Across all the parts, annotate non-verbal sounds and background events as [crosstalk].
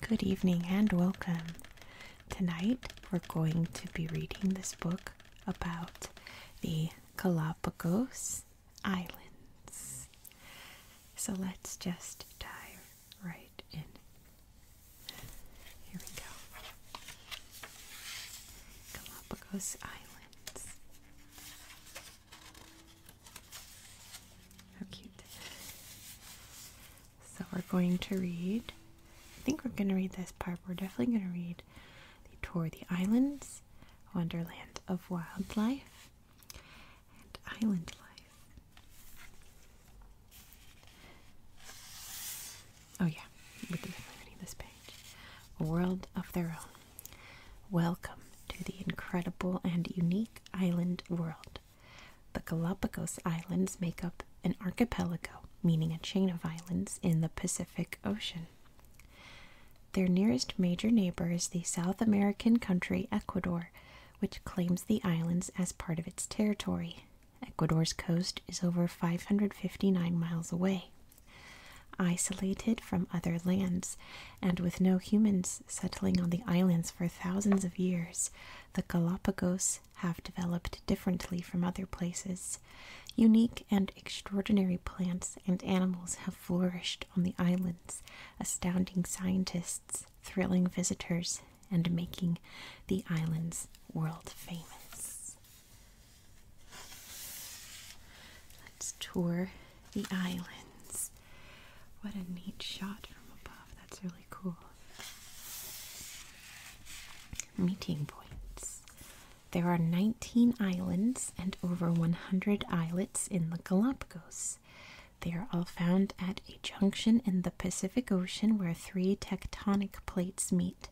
Good evening and welcome. Tonight we're going to be reading this book about the Galapagos Islands. So let's just dive right in. Here we go. Galapagos Islands. How cute. So we're going to read, I think we're going to read this part. We're definitely going to read the Tour the Islands, Wonderland of Wildlife, and Island Life. Oh, yeah, we're definitely reading this page. A world of their own. Welcome to the incredible and unique island world. The Galapagos Islands make up an archipelago, meaning a chain of islands in the Pacific Ocean. Their nearest major neighbor is the South American country Ecuador, which claims the islands as part of its territory. Ecuador's coast is over 559 miles away. Isolated from other lands, and with no humans settling on the islands for thousands of years, the Galapagos have developed differently from other places. Unique and extraordinary plants and animals have flourished on the islands, astounding scientists, thrilling visitors, and making the islands world famous. Let's tour the islands. What a neat shot from above. That's really cool. Meeting points. There are 19 islands and over 100 islets in the Galapagos. They are all found at a junction in the Pacific Ocean where three tectonic plates meet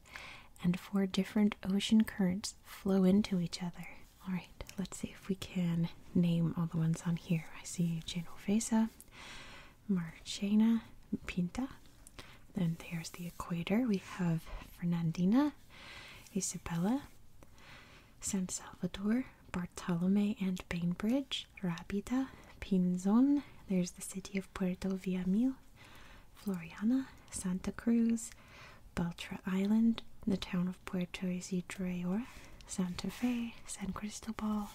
and four different ocean currents flow into each other. All right, let's see if we can name all the ones on here. I see Genovesa, Marchena, Pinta. Then there's the equator. We have Fernandina, Isabella, San Salvador, Bartolome and Bainbridge, Rábida, Pinzon. There's the city of Puerto Villamil, Floriana, Santa Cruz, Beltra Island, the town of Puerto Isidro, Santa Fe, San Cristobal,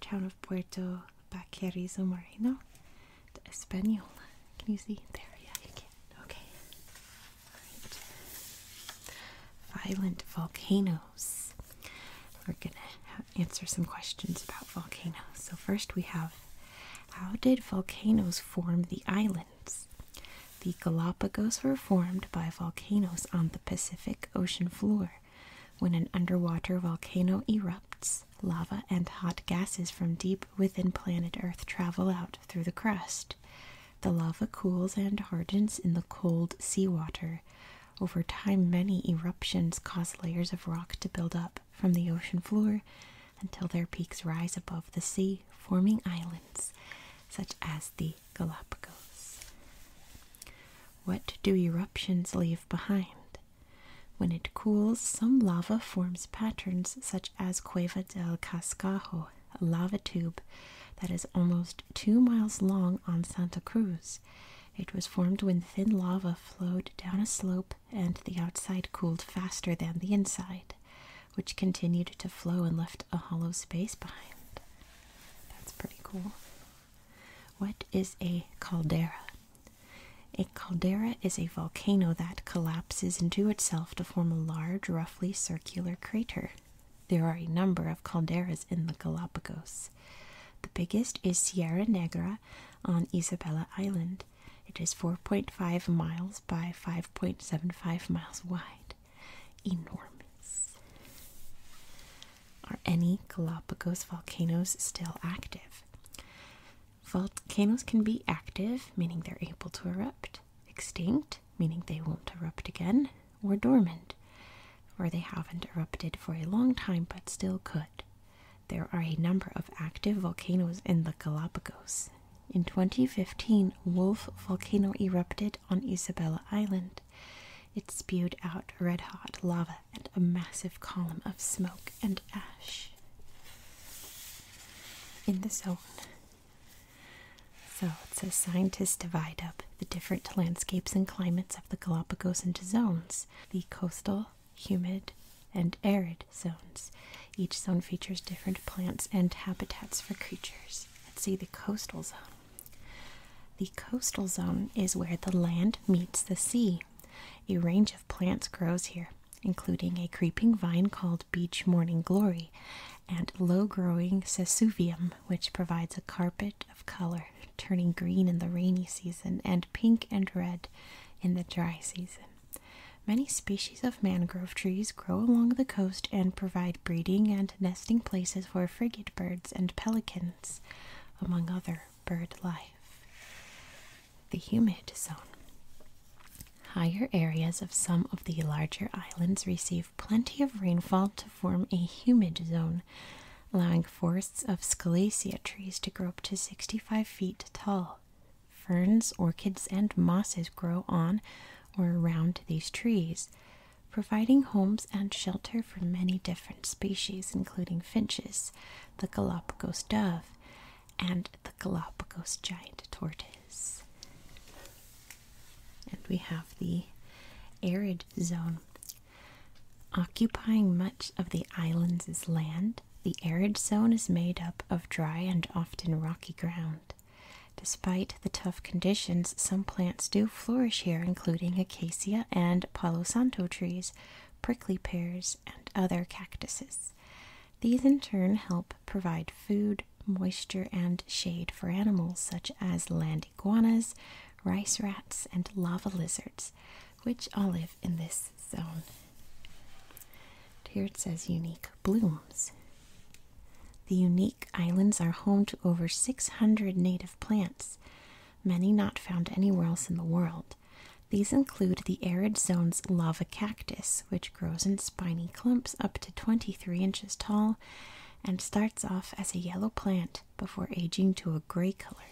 town of Puerto Baquerizo Moreno, the Española. Can you see? There, yeah, you can. Okay. Violent volcanoes. We're going to answer some questions about volcanoes. So, first we have how did volcanoes form the islands? The Galapagos were formed by volcanoes on the Pacific Ocean floor. When an underwater volcano erupts, lava and hot gases from deep within planet Earth travel out through the crust. The lava cools and hardens in the cold seawater. Over time, many eruptions cause layers of rock to build up from the ocean floor until their peaks rise above the sea, forming islands such as the Galapagos. What do eruptions leave behind? When it cools, some lava forms patterns such as Cueva del Cascajo, a lava tube that is almost two miles long on Santa Cruz. It was formed when thin lava flowed down a slope and the outside cooled faster than the inside, which continued to flow and left a hollow space behind. That's pretty cool. What is a caldera? A caldera is a volcano that collapses into itself to form a large, roughly circular crater. There are a number of calderas in the Galapagos. The biggest is Sierra Negra on Isabela Island, it is 4.5 miles by 5.75 miles wide. Enormous. Are any Galapagos volcanoes still active? Volcanoes can be active, meaning they're able to erupt, extinct, meaning they won't erupt again, or dormant, or they haven't erupted for a long time but still could there are a number of active volcanoes in the Galapagos. In 2015, Wolf volcano erupted on Isabella Island. It spewed out red hot lava and a massive column of smoke and ash. In the zone. So it says scientists divide up the different landscapes and climates of the Galapagos into zones the coastal, humid, and arid zones. Each zone features different plants and habitats for creatures. Let's see the coastal zone. The coastal zone is where the land meets the sea. A range of plants grows here, including a creeping vine called beach morning glory and low-growing sesuvium, which provides a carpet of color, turning green in the rainy season and pink and red in the dry season. Many species of mangrove trees grow along the coast and provide breeding and nesting places for frigate birds and pelicans, among other bird life. The humid zone. Higher areas of some of the larger islands receive plenty of rainfall to form a humid zone, allowing forests of scalacia trees to grow up to 65 feet tall. Ferns, orchids, and mosses grow on or around these trees, providing homes and shelter for many different species, including finches, the Galapagos dove, and the Galapagos giant tortoise. And we have the arid zone. Occupying much of the islands land, the arid zone is made up of dry and often rocky ground. Despite the tough conditions, some plants do flourish here, including acacia and palo santo trees, prickly pears, and other cactuses. These in turn help provide food, moisture, and shade for animals such as land iguanas, rice rats, and lava lizards which olive in this zone. Here it says unique blooms. The unique islands are home to over 600 native plants, many not found anywhere else in the world. These include the arid zone's lava cactus, which grows in spiny clumps up to 23 inches tall and starts off as a yellow plant before aging to a gray color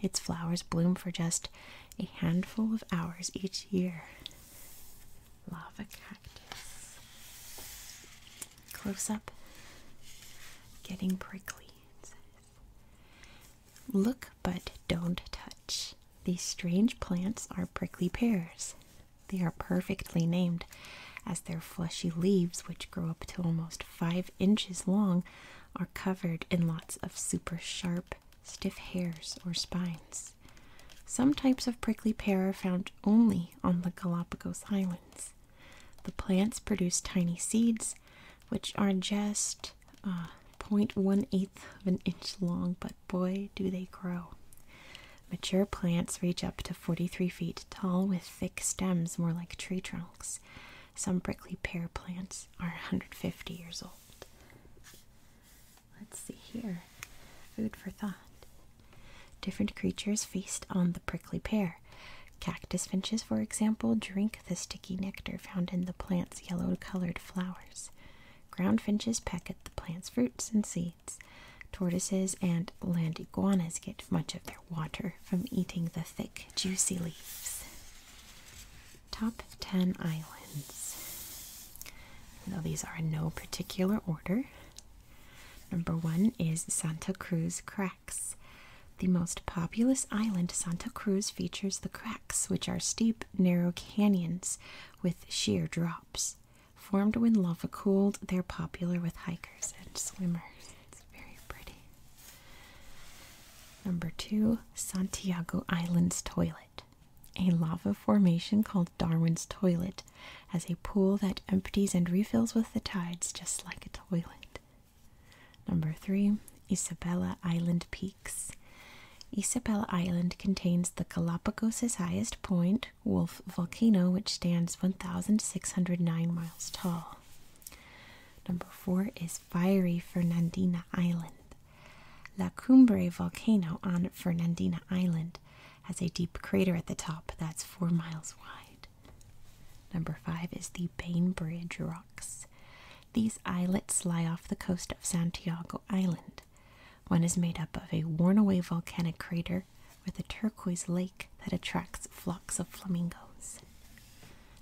its flowers bloom for just a handful of hours each year. Lava cactus. Close up. Getting prickly, Look but don't touch. These strange plants are prickly pears. They are perfectly named, as their fleshy leaves, which grow up to almost five inches long, are covered in lots of super sharp, stiff hairs, or spines. Some types of prickly pear are found only on the Galapagos Islands. The plants produce tiny seeds, which are just uh, 0.18 of an inch long, but boy, do they grow. Mature plants reach up to 43 feet tall with thick stems, more like tree trunks. Some prickly pear plants are 150 years old. Let's see here. Food for thought. Different creatures feast on the prickly pear. Cactus finches, for example, drink the sticky nectar found in the plant's yellow colored flowers. Ground finches peck at the plant's fruits and seeds. Tortoises and land iguanas get much of their water from eating the thick, juicy leaves. Top 10 islands. Now, these are in no particular order. Number one is Santa Cruz Cracks. The most populous island, Santa Cruz, features the cracks, which are steep, narrow canyons with sheer drops. Formed when lava cooled, they're popular with hikers and swimmers. It's very pretty. Number two, Santiago Island's Toilet. A lava formation called Darwin's Toilet has a pool that empties and refills with the tides just like a toilet. Number three, Isabella Island Peaks. Isabella Island contains the Galapagos' highest point, Wolf Volcano, which stands 1,609 miles tall. Number four is fiery Fernandina Island. La Cumbre volcano on Fernandina Island has a deep crater at the top that's four miles wide. Number five is the Bainbridge Rocks. These islets lie off the coast of Santiago Island. One is made up of a worn away volcanic crater with a turquoise lake that attracts flocks of flamingos.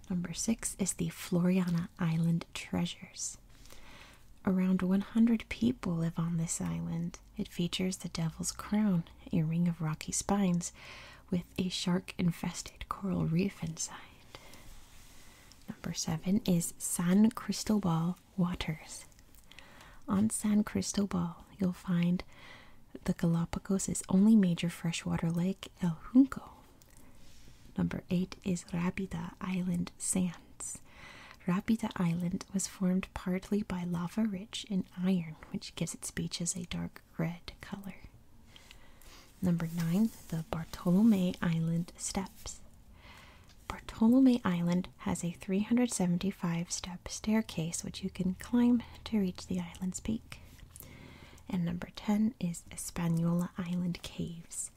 Number six is the Floriana Island treasures. Around 100 people live on this island. It features the Devil's Crown, a ring of rocky spines with a shark infested coral reef inside. Number seven is San Cristobal Waters. On San Cristobal, you'll find the Galapagos' only major freshwater lake, El Junco. Number 8 is Rapida Island Sands. Rapida Island was formed partly by lava rich in iron, which gives its beaches a dark red color. Number 9, the Bartolome Island Steps. Bartolome Island has a 375 step staircase which you can climb to reach the island's peak. And number 10 is Espanola Island Caves.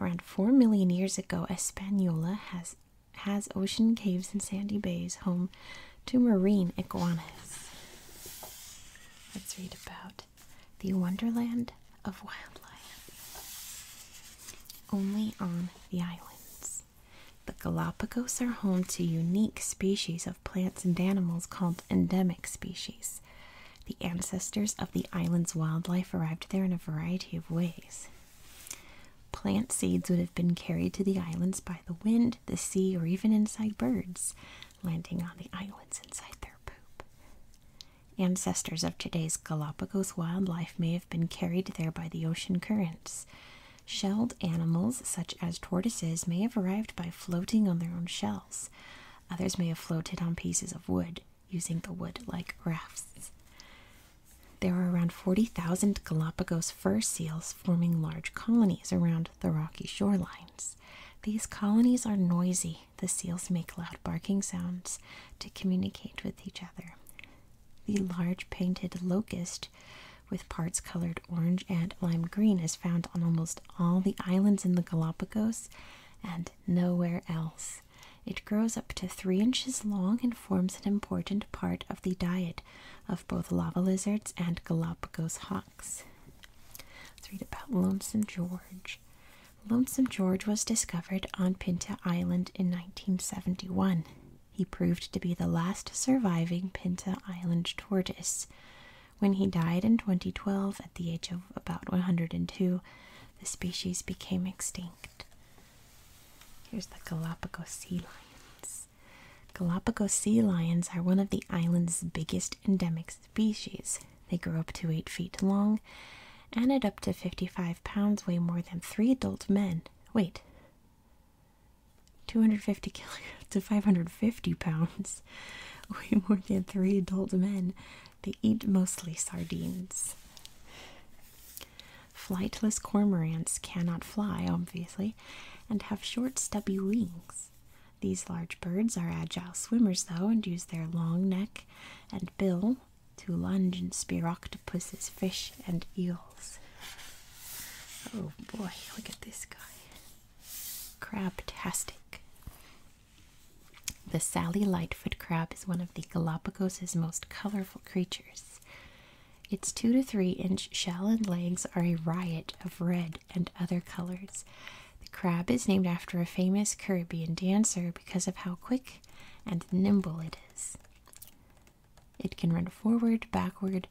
Around 4 million years ago, Española has, has ocean caves and sandy bays home to marine iguanas. Let's read about the wonderland of wildlife. Only on the islands. The Galapagos are home to unique species of plants and animals called endemic species. The ancestors of the island's wildlife arrived there in a variety of ways. Plant seeds would have been carried to the islands by the wind, the sea, or even inside birds, landing on the islands inside their poop. Ancestors of today's Galapagos wildlife may have been carried there by the ocean currents. Shelled animals, such as tortoises, may have arrived by floating on their own shells. Others may have floated on pieces of wood using the wood like rafts. There are around 40,000 Galapagos fur seals forming large colonies around the rocky shorelines. These colonies are noisy. The seals make loud barking sounds to communicate with each other. The large painted locust with parts colored orange and lime green is found on almost all the islands in the Galapagos and nowhere else. It grows up to three inches long and forms an important part of the diet of both lava lizards and Galapagos hawks. Let's read about Lonesome George. Lonesome George was discovered on Pinta Island in 1971. He proved to be the last surviving Pinta Island tortoise. When he died in 2012 at the age of about 102, the species became extinct. Here's the Galapagos sea lions. Galapagos sea lions are one of the island's biggest endemic species. They grow up to 8 feet long and at up to 55 pounds weigh more than three adult men. Wait, 250 [laughs] kilo to 550 pounds [laughs] weigh more than three adult men. They eat mostly sardines. Flightless cormorants cannot fly, obviously, and have short, stubby wings. These large birds are agile swimmers, though, and use their long neck and bill to lunge and spear octopuses, fish, and eels. Oh boy, look at this guy. Crabtastic. The Sally Lightfoot crab is one of the Galapagos' most colorful creatures. Its 2 to 3 inch shell and legs are a riot of red and other colors. The crab is named after a famous Caribbean dancer because of how quick and nimble it is. It can run forward, backward,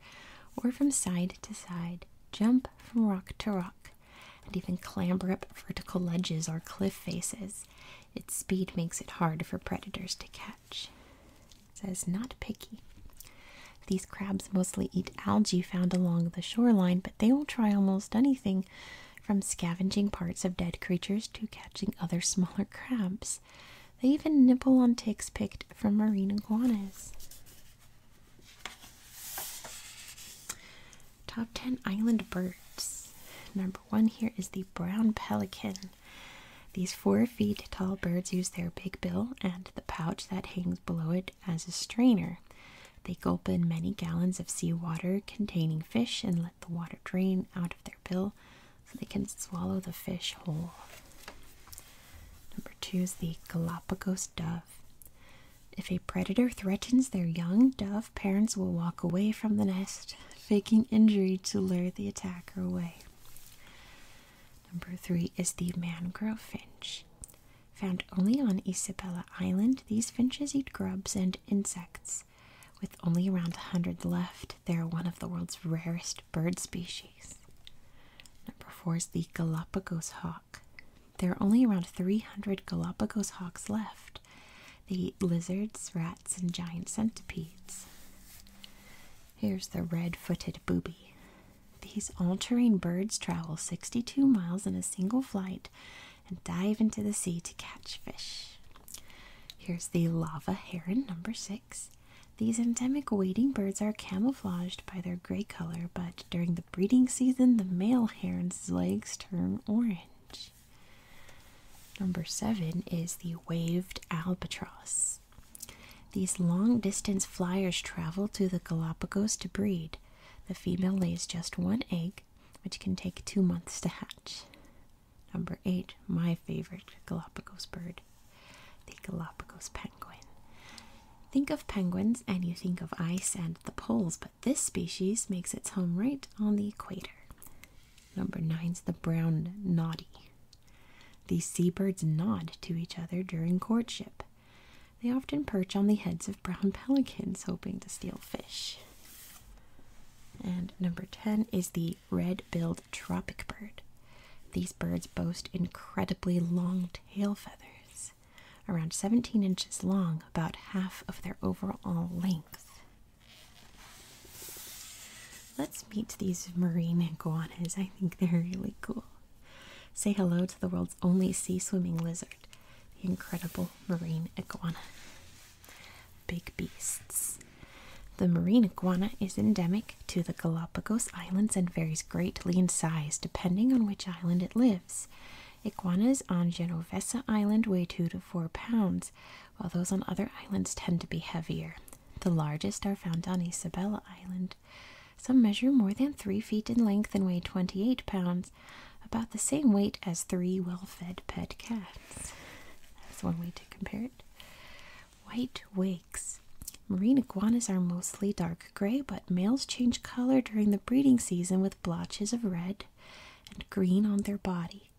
or from side to side, jump from rock to rock, and even clamber up vertical ledges or cliff faces. Its speed makes it hard for predators to catch. It says not picky. These crabs mostly eat algae found along the shoreline, but they will try almost anything from scavenging parts of dead creatures to catching other [laughs] smaller crabs. They even nibble on ticks picked from marine iguanas. Top 10 Island Birds. Number one here is the brown pelican. These four feet tall birds use their big bill and the pouch that hangs below it as a strainer. They gulp in many gallons of seawater containing fish and let the water drain out of their bill so they can swallow the fish whole. Number two is the Galapagos dove. If a predator threatens their young dove, parents will walk away from the nest, faking injury to lure the attacker away. Number three is the mangrove finch. Found only on Isabela Island, these finches eat grubs and insects. With only around a 100 left, they are one of the world's rarest bird species. Number four is the Galapagos hawk. There are only around 300 Galapagos hawks left. They eat lizards, rats, and giant centipedes. Here's the red footed booby. These all birds travel 62 miles in a single flight and dive into the sea to catch fish. Here's the lava heron, number six. These endemic wading birds are camouflaged by their gray color, but during the breeding season, the male heron's legs turn orange. Number seven is the waved albatross. These long distance flyers travel to the Galapagos to breed. The female lays just one egg, which can take two months to hatch. Number eight, my favorite Galapagos bird, the Galapagos penguin. Think of penguins and you think of ice and the poles, this species makes its home right on the equator. Number nine is the brown noddy. These seabirds nod to each other during courtship. They often perch on the heads of brown [laughs] pelicans, hoping to steal fish. And number 10 is the red billed tropic bird. These birds boast incredibly long tail feathers around 17 inches long, about half of their overall length. Let's meet these marine iguanas. I think they're really cool. Say hello to the world's only sea swimming lizard, the incredible marine iguana. Big beasts. The marine iguana is endemic to the Galapagos Islands and varies greatly in size depending on which island it lives. Iguanas on Genovesa Island weigh 2 to 4 pounds, while those on other islands tend to be heavier. The largest are found on Isabela Island. Some measure more than 3 feet in length and weigh 28 pounds, about the same weight as three well fed pet cats. That's one way to compare it. White wakes. Marine iguanas are mostly dark gray, but males change color during the breeding season with blotches of red and green on their body.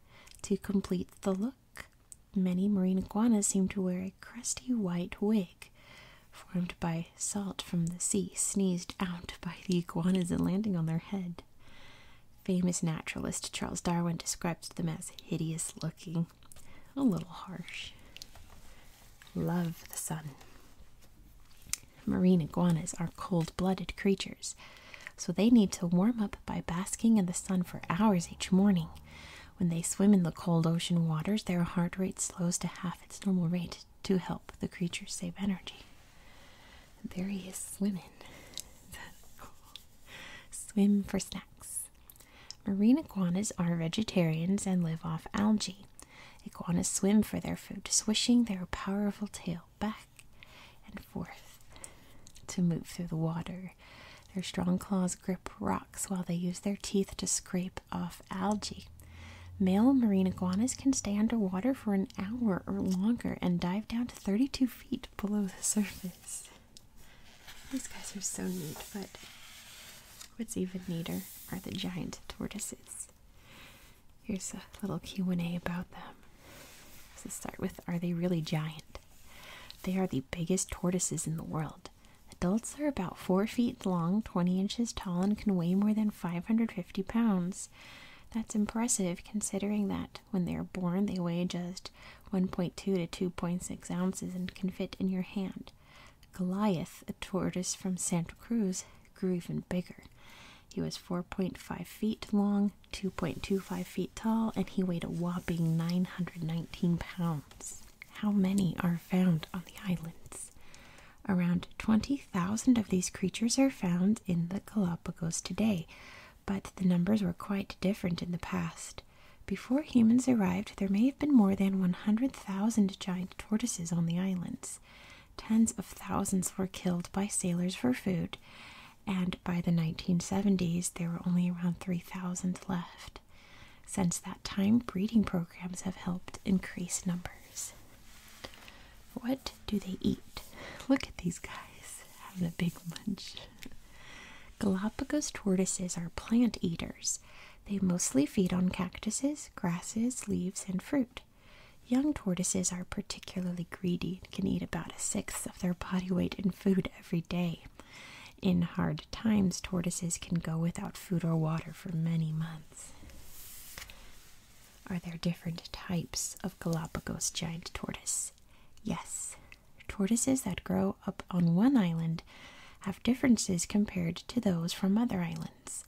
To complete the look, many marine iguanas seem to wear a crusty white wig formed by salt from the sea sneezed out by the iguanas and landing on their head. Famous naturalist Charles Darwin describes them as hideous looking, a little harsh. Love the sun. Marine iguanas are cold blooded creatures, so they need to warm up by basking in the sun for hours each morning. When they swim in the cold ocean waters, their heart rate slows to half its normal rate to help the creature save energy. there he is swimming. [laughs] Swim for snacks. Marine iguanas are vegetarians and live off algae. Iguanas swim for their food, swishing their powerful tail back and forth to move through the water. Their strong claws grip rocks while they use their teeth to scrape off algae. Male marine iguanas can stay underwater for an hour or longer and dive down to 32 feet below the [laughs] surface. These guys are so neat, but what's even neater are the giant tortoises. Here's a little Q&A about them. Let's start with, are they really giant? They are the biggest tortoises in the world. Adults are about 4 feet long, 20 inches tall, and can weigh more than 550 pounds. That's impressive considering that when they are born, they weigh just 1.2 to 2.6 ounces and can fit in your hand. Goliath, a tortoise from Santa Cruz, grew even bigger. He was 4.5 feet long, 2.25 feet tall, and he weighed a whopping 919 pounds. How many are found on the islands? Around 20,000 of these creatures are found in the Galapagos today, but the numbers were quite different in the past. Before humans arrived, there may have been more than 100,000 giant tortoises on the islands. Tens of thousands were killed by sailors for food, and by the 1970s, there were only around 3,000 left. Since that time, breeding programs have helped increase numbers. What do they eat? Look at these guys having a big lunch. Galapagos tortoises are plant eaters. They mostly feed on cactuses, grasses, leaves, and fruit. Young tortoises are particularly greedy and can eat about a sixth of their body weight in food every day. In hard times, tortoises can go without food or water for many months. Are there different types of Galapagos giant tortoise? Yes. Tortoises that grow up on one island have differences compared to those from other islands.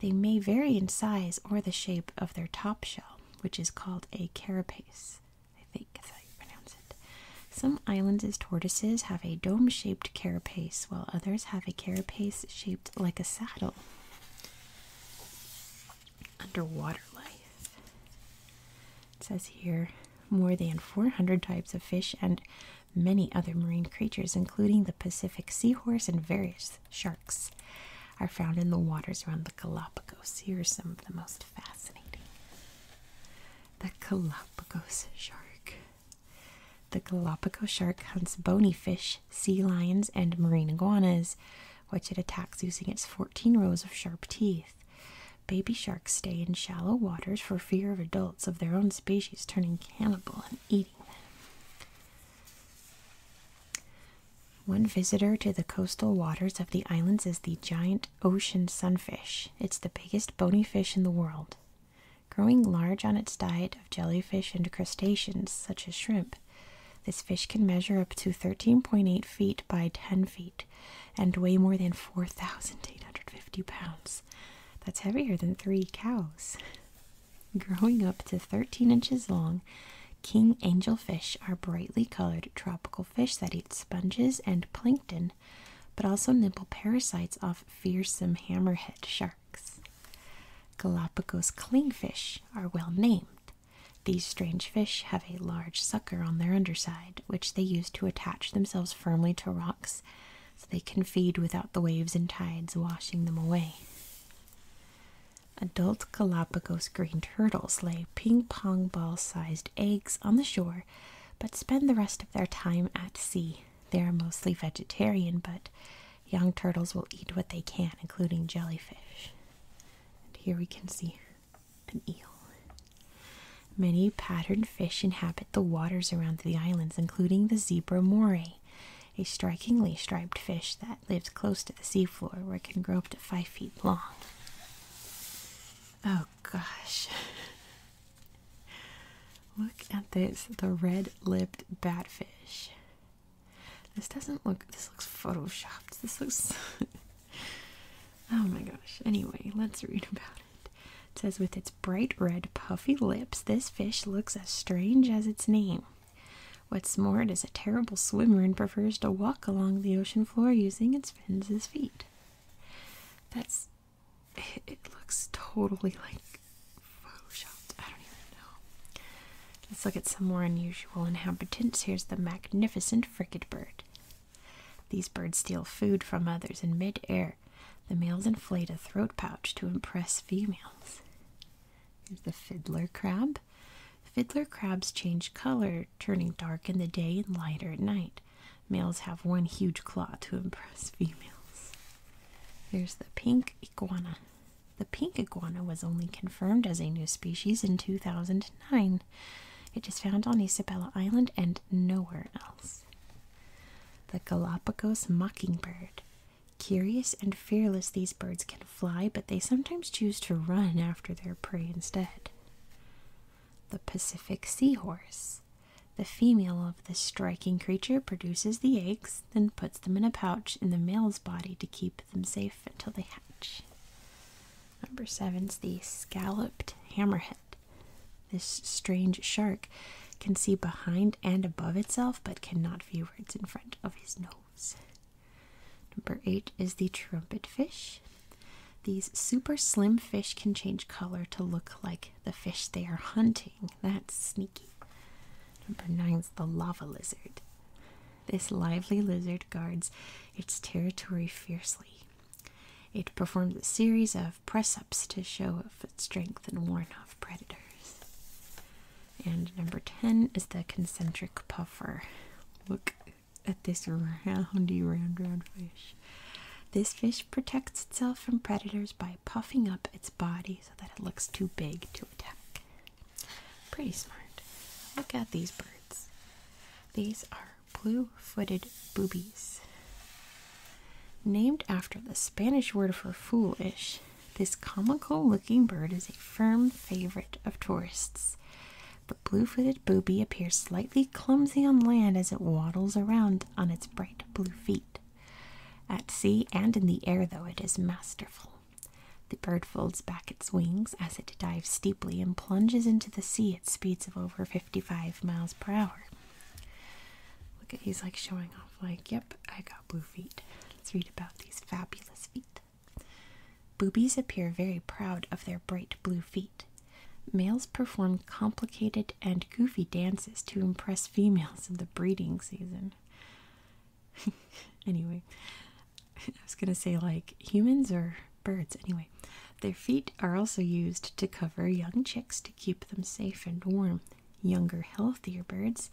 They may vary in size or the shape of their top shell, which is called a carapace. I think that's how pronounce it. Some islands' tortoises have a dome shaped carapace, while others have a carapace shaped like a saddle. Underwater life. says here more than 400 types of fish and many other marine creatures, including the Pacific seahorse and various sharks, are found in the waters around the Galapagos. Here are some of the most fascinating. The Galapagos shark. The Galapagos shark hunts bony fish, sea lions, and marine iguanas, which it attacks using its 14 rows of sharp teeth. Baby sharks stay in shallow waters for fear of adults of their own species turning cannibal and eating them. One visitor to the coastal waters of the islands is the giant ocean sunfish. It's the biggest bony fish in the world. Growing large on its diet of jellyfish and crustaceans, such as shrimp, this fish can measure up to 13.8 feet by 10 feet and weigh more than 4,850 pounds. That's heavier than three cows. Growing up to 13 inches long, king angelfish are brightly colored tropical fish that eat sponges and plankton, but also nibble parasites off fearsome hammerhead sharks. Galapagos clingfish are well named. These strange fish have a large sucker on their underside, which they use to attach themselves firmly to rocks so they can feed without the waves and tides washing them away. Adult Galapagos green turtles lay ping pong ball sized eggs on the shore but spend the rest of their time at sea. They are mostly vegetarian, but young turtles will eat what they can, including jellyfish. And here we can see an eel. Many patterned fish inhabit the waters around the islands, including the zebra moray a strikingly striped fish that lives close to the seafloor where it can grow up to five feet long. Oh gosh. [laughs] Look at this, the red-lipped batfish. This doesn't look, this looks photoshopped. This looks, [laughs] oh my gosh. Anyway, let's read about it. It says, with its bright red puffy lips, this fish looks as strange as its name. What's more, it is a terrible swimmer and prefers to walk along the ocean floor using its fins as feet. That's. It, looks totally like photoshopped. I don't even know. Let's look at some more unusual inhabitants. Here's the magnificent frigate bird. These birds steal food from others in midair. The males inflate a throat pouch to impress females. Here's the fiddler crab. Fiddler crabs change color, turning dark in the day and lighter at night. Males have one huge claw to impress [laughs] females. There's the pink iguana. The pink iguana was only confirmed as a new species in 2009. It is found on Isabella Island and nowhere else. The Galapagos mockingbird. Curious and fearless, these birds can fly, but they sometimes choose to run after their prey instead. The Pacific seahorse. The female of this striking creature produces the eggs, then puts them in a pouch in the male's body to keep them safe until they hatch. Number seven is the scalloped hammerhead. This strange shark can see behind and above itself, but cannot view what's in front of his nose. Number eight is the trumpet fish. These super slim fish can change color to look like the fish they are hunting. That's sneaky. Number nine is the lava lizard. This lively lizard guards its territory fiercely. It performs a series of press ups to show off its strength and warn off predators. And number 10 is the concentric puffer. Look at this roundy, round, round fish. This fish protects itself from predators by puffing up its body so that it looks too big to attack. Pretty smart. Look at these birds. These are blue footed boobies. Named after the Spanish word for foolish, this comical looking bird is a firm favorite of tourists. The blue footed booby appears slightly clumsy on land as it waddles around on its bright blue feet. At sea and in the air, though, it is masterful. The bird folds back its wings as it dives steeply and plunges into the sea at speeds of over 55 miles per hour. Look at he's like showing off, like, yep, I got blue feet. Let's read about these fabulous feet. Boobies appear very proud of their bright blue feet. Males perform complicated and goofy dances to impress females in the breeding season. [laughs] anyway, [laughs] I was going to say, like, humans or birds, anyway. Their feet are also used to cover young chicks to keep them safe and warm. Younger, healthier birds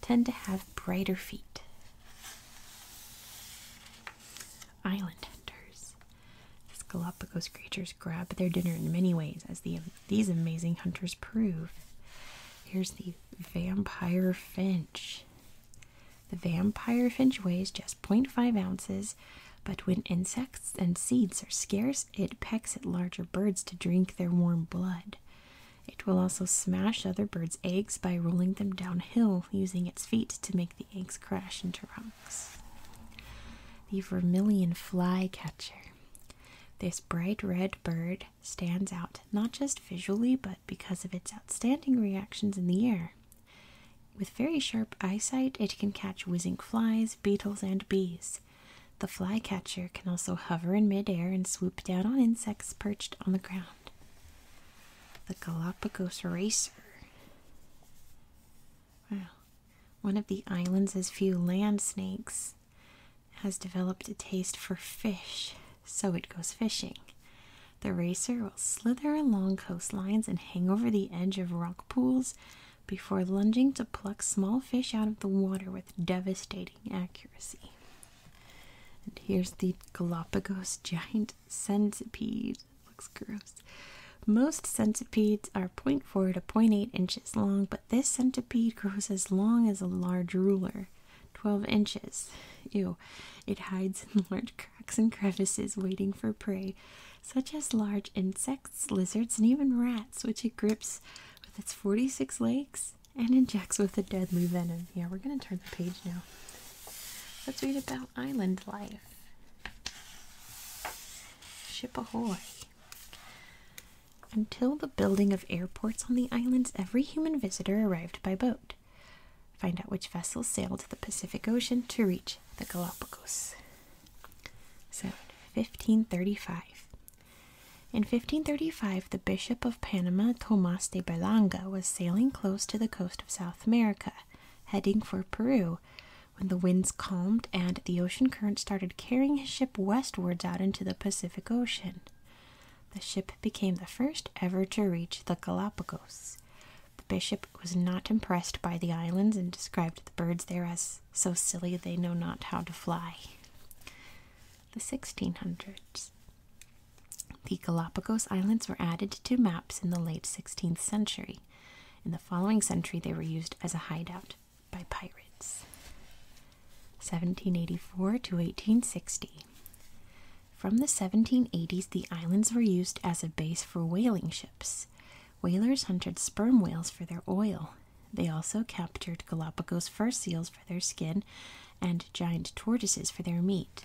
tend to have brighter feet. Island hunters. These Galapagos creatures grab their dinner in many ways, as the, these amazing hunters prove. Here's the vampire finch. The vampire finch weighs just point five ounces, but when insects and seeds are scarce, it pecks at larger birds to drink their warm blood. It will also smash other birds' eggs by rolling them downhill using its feet to make the eggs crash into rocks. The vermilion flycatcher. This bright red bird stands out not just visually but because of its outstanding reactions in the air. With very sharp eyesight, it can catch whizzing flies, beetles, and bees. The flycatcher can also hover in midair and swoop down on insects perched on the ground. The Galapagos Racer. Wow. One of the island's few land snakes has developed a taste for fish, so it goes fishing. The racer will slither along coastlines and hang over the edge of rock pools before lunging to pluck small fish out of the water with devastating accuracy. And here's the Galapagos giant centipede. Looks gross. Most centipedes are 0.4 to 0.8 inches long, but this centipede grows as long as a large ruler 12 inches. Ew. It hides in [laughs] large cracks and crevices, waiting for prey, such as large insects, lizards, and even rats, which it grips with its 46 legs and injects with a deadly venom. Yeah, we're going to turn the page now. Let's read about island life. Ship ahoy. Until the building of airports on the islands, every human visitor arrived by boat. Find out which vessels sailed the Pacific Ocean to reach the Galapagos. So, 1535. In 1535, the Bishop of Panama, Tomas de Berlanga, was sailing close to the coast of South America, heading for Peru, when the winds calmed and the ocean current started carrying his ship westwards out into the Pacific Ocean. The ship became the first ever to reach the Galapagos. The bishop was not impressed by the islands and described the birds there as so silly they know not how to fly. The 1600s. The Galapagos Islands were added to maps in the late 16th century. In the following century, they were used as a hideout by pirates. 1784 to 1860. From the 1780s, the islands were used as a base for whaling ships. Whalers hunted sperm whales for their oil. They also captured Galapagos fur seals their skin and giant tortoises for their meat.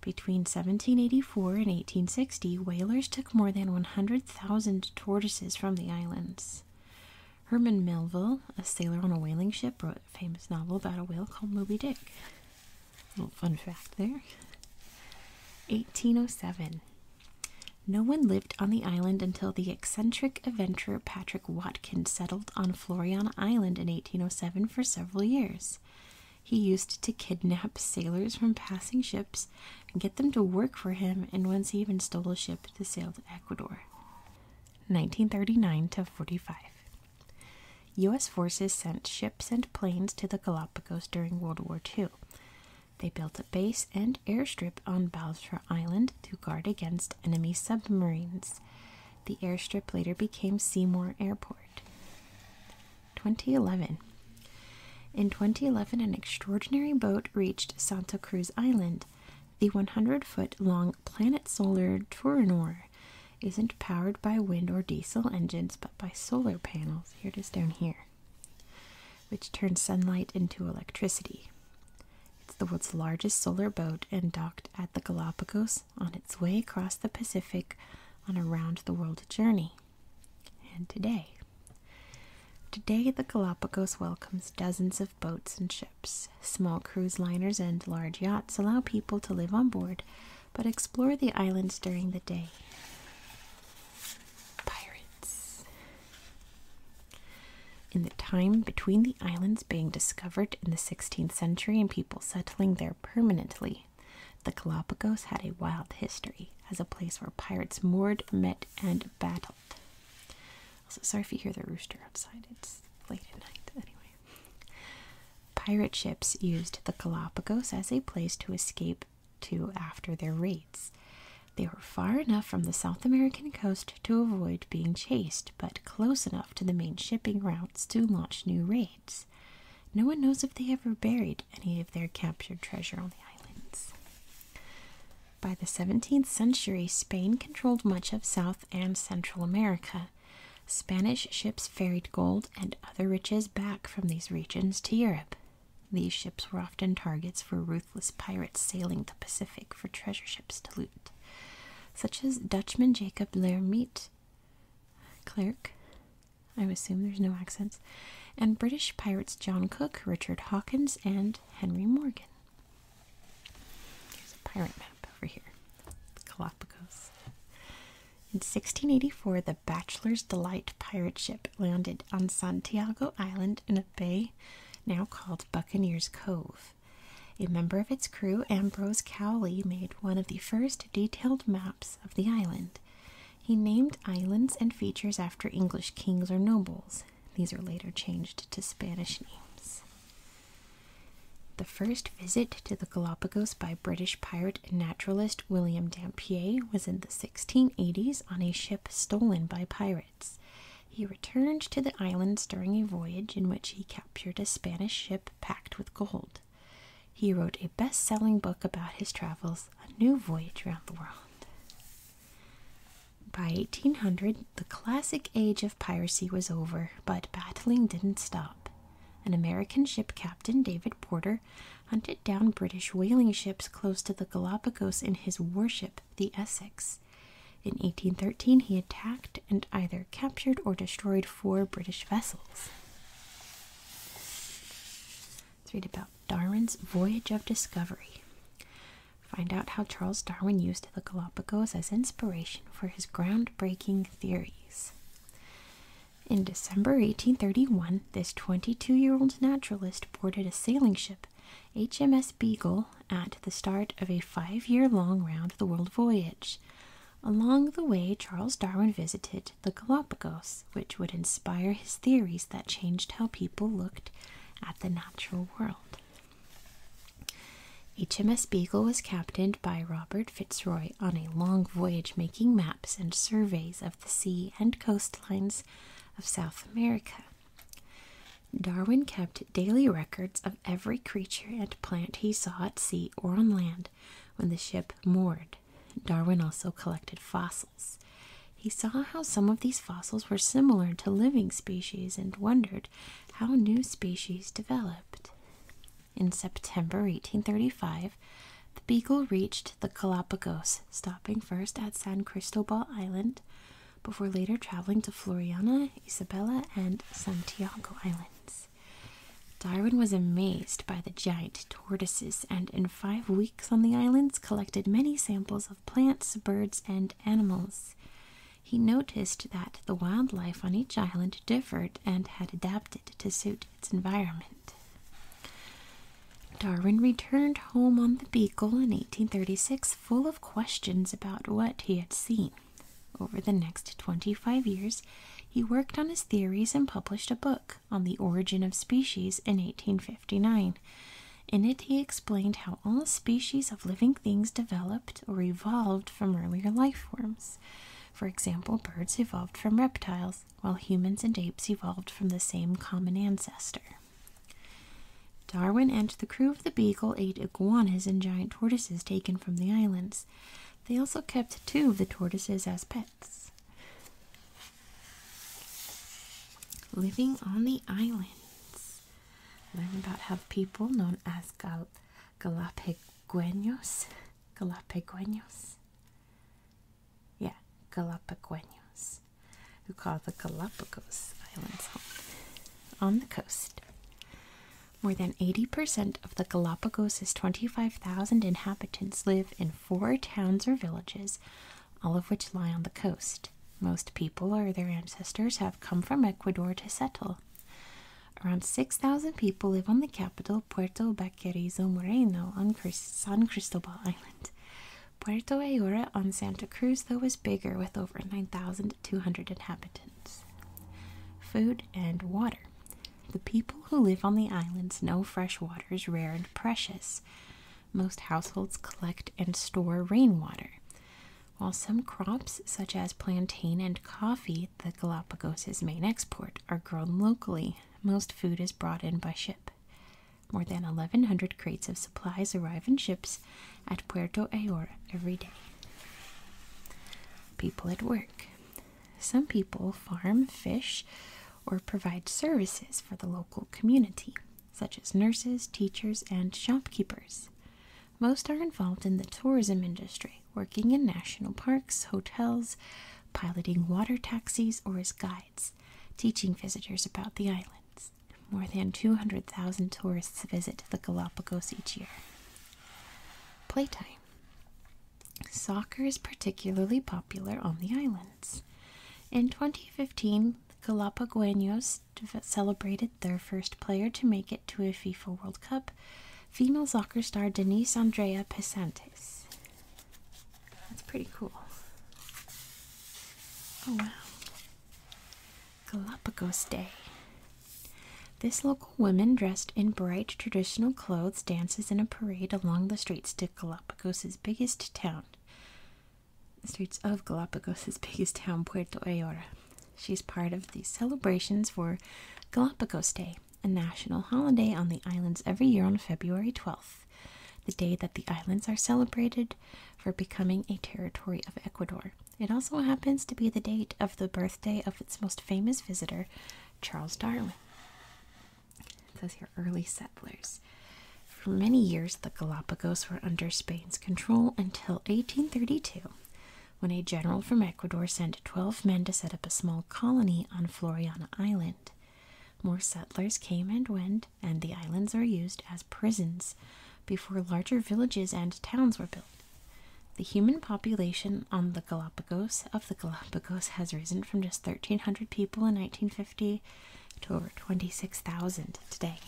Between 1784 and 1860, whalers took more than 100,000 tortoises from the islands. Herman Melville, a sailor on a whaling ship, wrote a famous novel about a whale called Moby Dick. A little fun fact there. 1807. No one lived on the island until the eccentric adventurer Patrick Watkins settled on Floriana Island in 1807 for several years. He used to kidnap sailors from passing ships and get them to work for him, and once he even stole a ship to sail to Ecuador. 1939 to 45. U.S. forces sent ships and planes to the Galapagos during World War Two. They built a base and airstrip on Baltra Island to guard against enemy submarines. The airstrip later became Seymour Airport. 2011. In 2011, an extraordinary boat reached Santa Cruz Island. The 100 foot long planet solar Touranor isn't powered by wind or diesel engines but by solar panels. Here it is down here, which turns sunlight into electricity. It's the world's largest solar boat and docked at the Galapagos on its way across the Pacific on a round the world journey. And today, today the Galapagos welcomes dozens of boats and ships. Small cruise liners and large yachts allow people to live on board but explore the islands during the day. Pirates. In the time between the islands being discovered in the 16th century and people settling there permanently, the Galapagos had a wild history as a place where pirates moored, met, and battled. Also, sorry if you hear the rooster outside, it's late at night anyway. Pirate ships used the Galapagos as a place to escape to after their raids. They were far enough from the South American coast to avoid being chased, but close enough to the main shipping routes to launch new raids. No one knows if they ever buried any of their captured treasure on the islands. By the 17th century, Spain controlled much of South and Central America. Spanish ships ferried gold and other riches back from these regions to Europe. These ships were often targets for ruthless pirates sailing the Pacific for treasure ships to loot, such as Dutchman Jacob Learme State Clerk. I assume there's no accents. And British pirates John Cook, Richard Hawkins, and Henry Morgan. Here's a pirate map over here. Galapagos. In 1684, the Bachelor's Delight pirate ship landed on Santiago Island in a bay now called Buccaneer's Cove. A member of its crew, Ambrose Cowley, made one of the first detailed maps of the island. He named islands and features after English kings or nobles. These are later changed to Spanish names. The first visit to the Galapagos by British pirate and naturalist William Dampier was in the 1680s on a ship stolen by pirates. He returned to the islands during a voyage in which he captured captured a Spanish ship packed with gold. He wrote a best selling book about his travels, A New Voyage Around the World. By 1800, the classic age of piracy was over, but battling didn't stop. An American ship captain, David Porter, hunted down British whaling ships close to the Galapagos in his warship, the Essex. In 1813, he attacked and either captured or destroyed destroyed four British vessels. Let's read about Darwin's voyage of discovery. Find out how Charles Darwin used the Galapagos as inspiration for his groundbreaking theories. In December 1831, this 22 year old naturalist boarded a sailing ship, HMS Beagle, at the start of a five year long round the world voyage. Along the way, Charles Darwin visited the Galapagos, which would inspire his theories that changed how people looked at the natural world. HMS Beagle was captained by Robert Fitzroy on a long voyage making maps and surveys of the sea and coastlines of South America. Darwin kept daily records of every creature and plant he saw at sea or on land when the ship moored. Darwin also collected fossils. He saw how some of these fossils were similar to living species and wondered how new species developed. In September 1835, the Beagle reached the Galapagos, stopping first at San Cristobal Island before later traveling to Floriana, Isabella, and Santiago Islands. Darwin was amazed by the giant tortoises and in five weeks on the islands collected many samples of plants, birds, and animals. He noticed that the wildlife on each island differed and had adapted to suit its environment. Darwin returned home on the Beagle in 1836 full of questions about what he had seen. Over the next 25 years, he worked on his theories and published a book on the origin of species in 1859. In it, he explained how all species of living things developed or evolved from earlier life forms. For example, birds evolved from reptiles, while humans and apes evolved from the same common ancestor. Darwin and the crew of the Beagle ate iguanas and giant tortoises taken from the islands. They also kept two of the tortoises as pets. Living on the islands. Learn about how people known as Gal Galapagos, Galapagos, yeah, Galapagos, who call the Galapagos Islands home on the coast. More than 80% of the Galapagos' 25,000 inhabitants live in four towns or villages, all of which lie on the coast. Most people or their ancestors have come from Ecuador to settle. Around 6,000 people live on the capital, Puerto Baquerizo Moreno, on San Cristobal Island. Puerto Ayora on Santa Cruz, though, is bigger with over 9,000 Two hundred inhabitants. Food and water. The people who live on the islands know fresh water is rare and precious. Most households collect and store rainwater. While some crops, such as plantain and coffee, the Galapagos' main export, are grown locally, most food is brought in by ship. More than 1,100 crates of supplies arrive in ships at Puerto Ayora every day people at work. Some people farm, fish, or provide services for the local community, such as nurses, teachers, and shopkeepers. Most are involved in the tourism industry, working in national parks, hotels, piloting water taxis, or as guides, teaching visitors about the islands. More than 200,000 tourists visit the Galapagos each year. Playtime. Soccer is particularly popular on the islands. In 2015, the Galapagos celebrated their first player to make it to a FIFA World Cup, female soccer star Denise Andrea Pesantes. That's pretty cool. Oh wow. Galapagos Day. This local woman, dressed in bright traditional clothes, dances in a parade along the streets to Galapagos's biggest town. The streets of Galapagos's [laughs] biggest town, Puerto Ayora. She's part of the celebrations for Galapagos Day, a national holiday on the islands every year on February 12th, the day that the islands are celebrated for becoming a territory of Ecuador. It also happens to be the date of the birthday of its most famous visitor, Charles Darwin. says here early settlers. For many years, the Galapagos were under Spain's control until 1832, when a general from Ecuador sent 12 men to set up a small colony on Floriana Island. More settlers came and went, and the islands were used as prisons before larger villages and towns were built. The human population on the Galapagos of the Galapagos has risen from just 1,300 people in 1950 to over 26,000 today.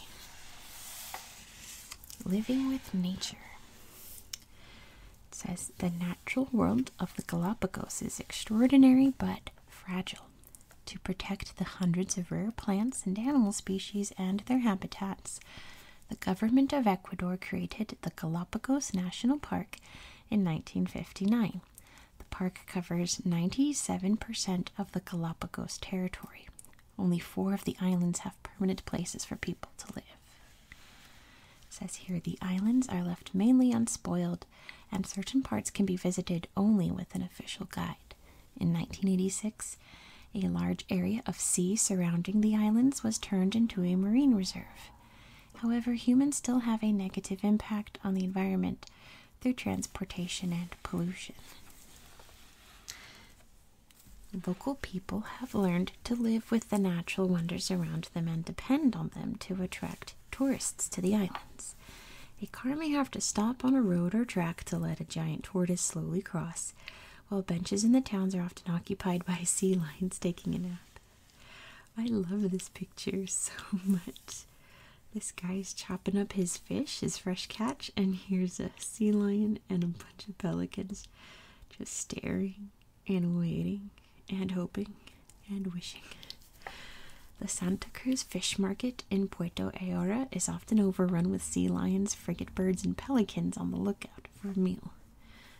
Living with nature. says the natural world of the Galapagos is extraordinary but fragile. To protect the hundreds of rare plants and animal species and their habitats, the government of Ecuador created the Galapagos National Park in 1959. The park covers 97% of the Galapagos territory. Only four of the islands have permanent places for people to live. It says here the islands are left mainly unspoiled, and certain parts can be visited only with an official guide. In 1986, a large area of sea surrounding the islands was turned into a marine reserve. However, humans still have a negative impact on the environment through transportation and pollution. Local people have learned to live with the natural wonders around them and depend on them to attract tourists to the islands. A car may have to stop on a road or track to let a giant tortoise slowly cross, while benches in the towns are often occupied by [laughs] sea lions taking a nap. I love this picture [laughs] so much. This guy's chopping up his fish, his fresh catch, and here's a sea lion and a bunch of pelicans just staring and waiting and hoping and wishing. The Santa Cruz Fish Market in Puerto Ayora is often overrun with sea lions, frigate birds, and pelicans on the lookout for a meal.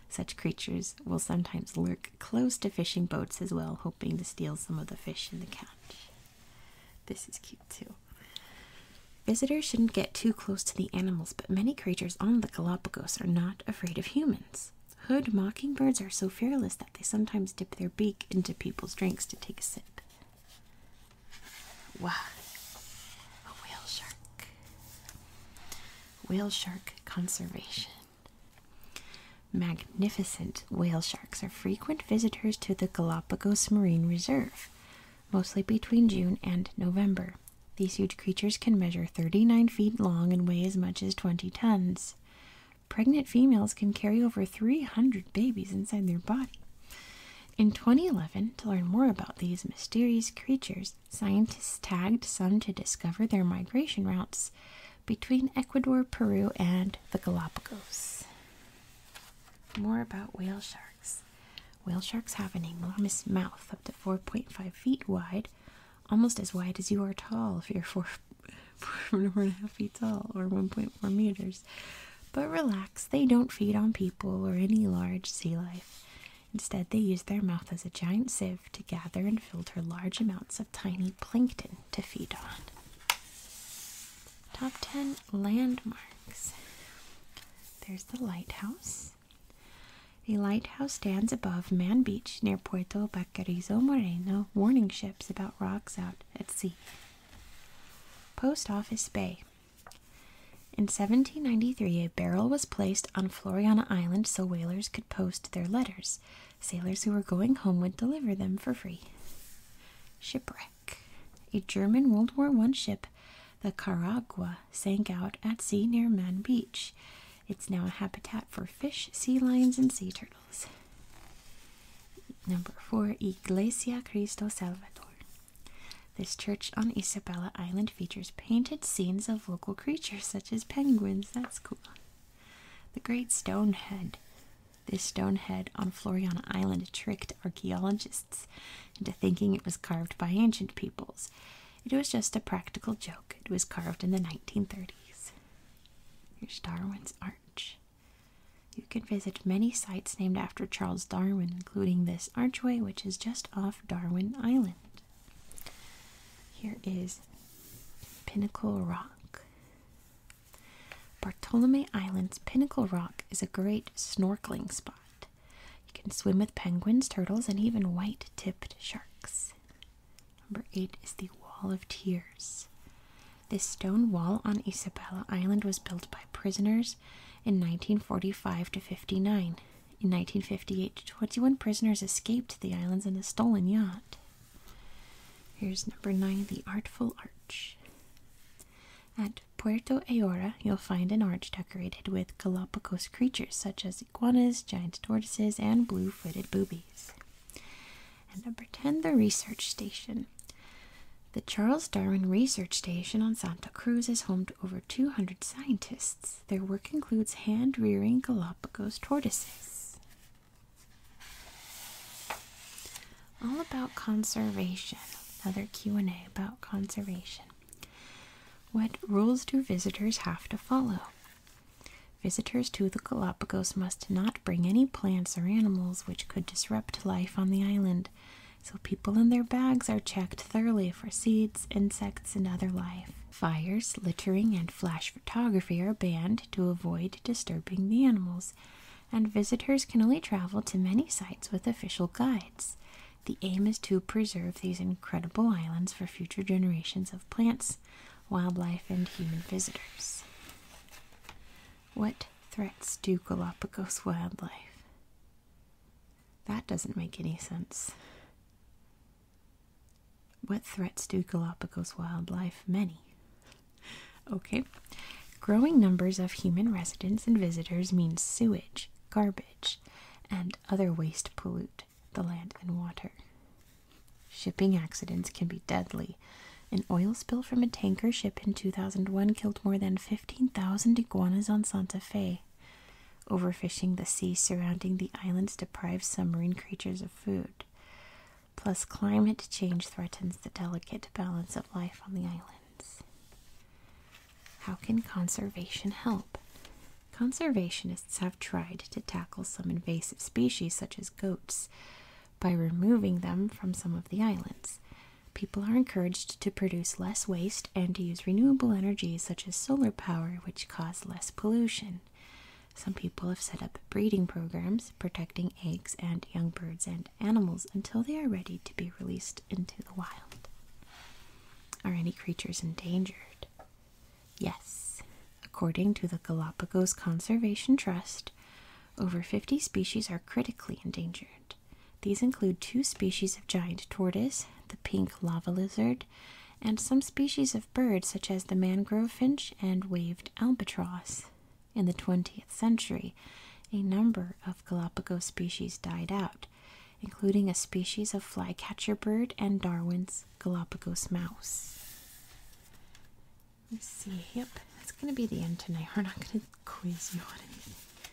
Such creatures will sometimes lurk close to fishing boats as well, hoping to steal some of the fish in the catch. This is cute too. Visitors shouldn't get too close to the animals, but many creatures on the Galapagos are not afraid of humans. Hood mockingbirds are so fearless that they sometimes dip their beak into people's drinks to take a sip. Wow, a whale shark. Whale shark conservation. Magnificent whale sharks are frequent visitors to the Galapagos Marine Reserve, mostly between June and November. These huge creatures can measure 39 feet long and weigh as much as 20 tons. Pregnant females can carry over 300 babies inside their body. In 2011, to learn more about these mysterious creatures, Scientists tagged some to discover their migration routes between Ecuador, Peru, and the Galapagos. More about whale sharks. Whale sharks have an enormous mouth up to 4.5 feet wide, almost as wide as you are tall if you're four, [laughs] four and a half feet tall or 1.4 meters. But relax, they don't feed on people or any large sea life. Instead, they use their mouth as a giant sieve to gather and filter large amounts of tiny plankton to feed on. Top 10 landmarks. There's the lighthouse. A lighthouse stands above Man Beach near Puerto Baquerizo Moreno, warning ships about rocks out at sea. Post Office Bay. In 1793, a barrel was placed on Floriana Island so whalers could post their letters. Sailors who were going home would deliver them for free. Shipwreck. A German World War I ship, the Caragua, sank out at sea near Man Beach. It's now a habitat for fish, sea lions, and sea turtles. Number four, Iglesia Cristo Salvador. This church on Isabella Island features painted scenes of local creatures such as penguins. That's cool. The Great Stone Head. This stone head on Floriana Island tricked archaeologists into thinking it was carved by ancient peoples. It was just a practical joke. It was carved in the 1930s. Here's Darwin's Arch. You can visit many sites named after Charles Darwin, including this archway, which is just off Darwin Island. Here is Pinnacle Rock. Bartolome Island's Pinnacle Rock is a great snorkeling spot. You can swim with penguins, turtles, and even white tipped sharks. Number eight is the Wall of Tears. This stone wall on Isabella Island was built by prisoners in 1945 to 59. In 1958, to 21 prisoners escaped the islands in a stolen yacht. Here's number 9 The Artful Arch. At Puerto Ayora, you'll find an arch decorated with Galapagos creatures such as iguanas, giant tortoises, and blue footed boobies. And number 10, the research station. The Charles Darwin Research Station on Santa Cruz is home to over 200 scientists. Their work includes hand rearing Galapagos tortoises. All about conservation. Another Q&A about conservation. What rules do visitors have to follow? Visitors to the Galapagos must not bring any plants or animals which could disrupt life on the island, so people and their bags are checked thoroughly for seeds, insects, and other life. Fires, littering, and flash photography are banned to avoid disturbing the animals, and visitors can only travel to many sites with official guides. The aim is to preserve these incredible islands for future generations of plants, wildlife, and human visitors. What threats do Galapagos wildlife? That doesn't make any sense. What threats do Galapagos wildlife? Many. Okay. Growing numbers of human residents and visitors mean sewage, garbage, and other waste pollute the land and water. Shipping accidents can be deadly. An oil spill from a tanker ship in 2001 killed more than 15,000 iguanas on Santa Fe. Overfishing the sea surrounding the islands deprives some marine creatures of food. Plus, climate change threatens the delicate balance of life on the islands. How can conservation help? Conservationists have tried to tackle some invasive species, such as goats, by removing them from some of the islands. People are encouraged to produce less waste and to use renewable energies such as solar power, which cause less pollution. Some people have set up breeding programs protecting eggs and young birds and animals until they are ready to be released into the wild. Are any creatures endangered? Yes. According to the Galapagos Conservation Trust, over 50 species are critically endangered. These include two species of giant tortoise, the pink lava lizard, and some species of birds such as the mangrove finch and waved albatross. In the 20th century, a number of Galapagos species died out, including a species of flycatcher bird and Darwin's Galapagos mouse. Let's see, yep, that's going to be the end tonight. We're not going to quiz you on anything.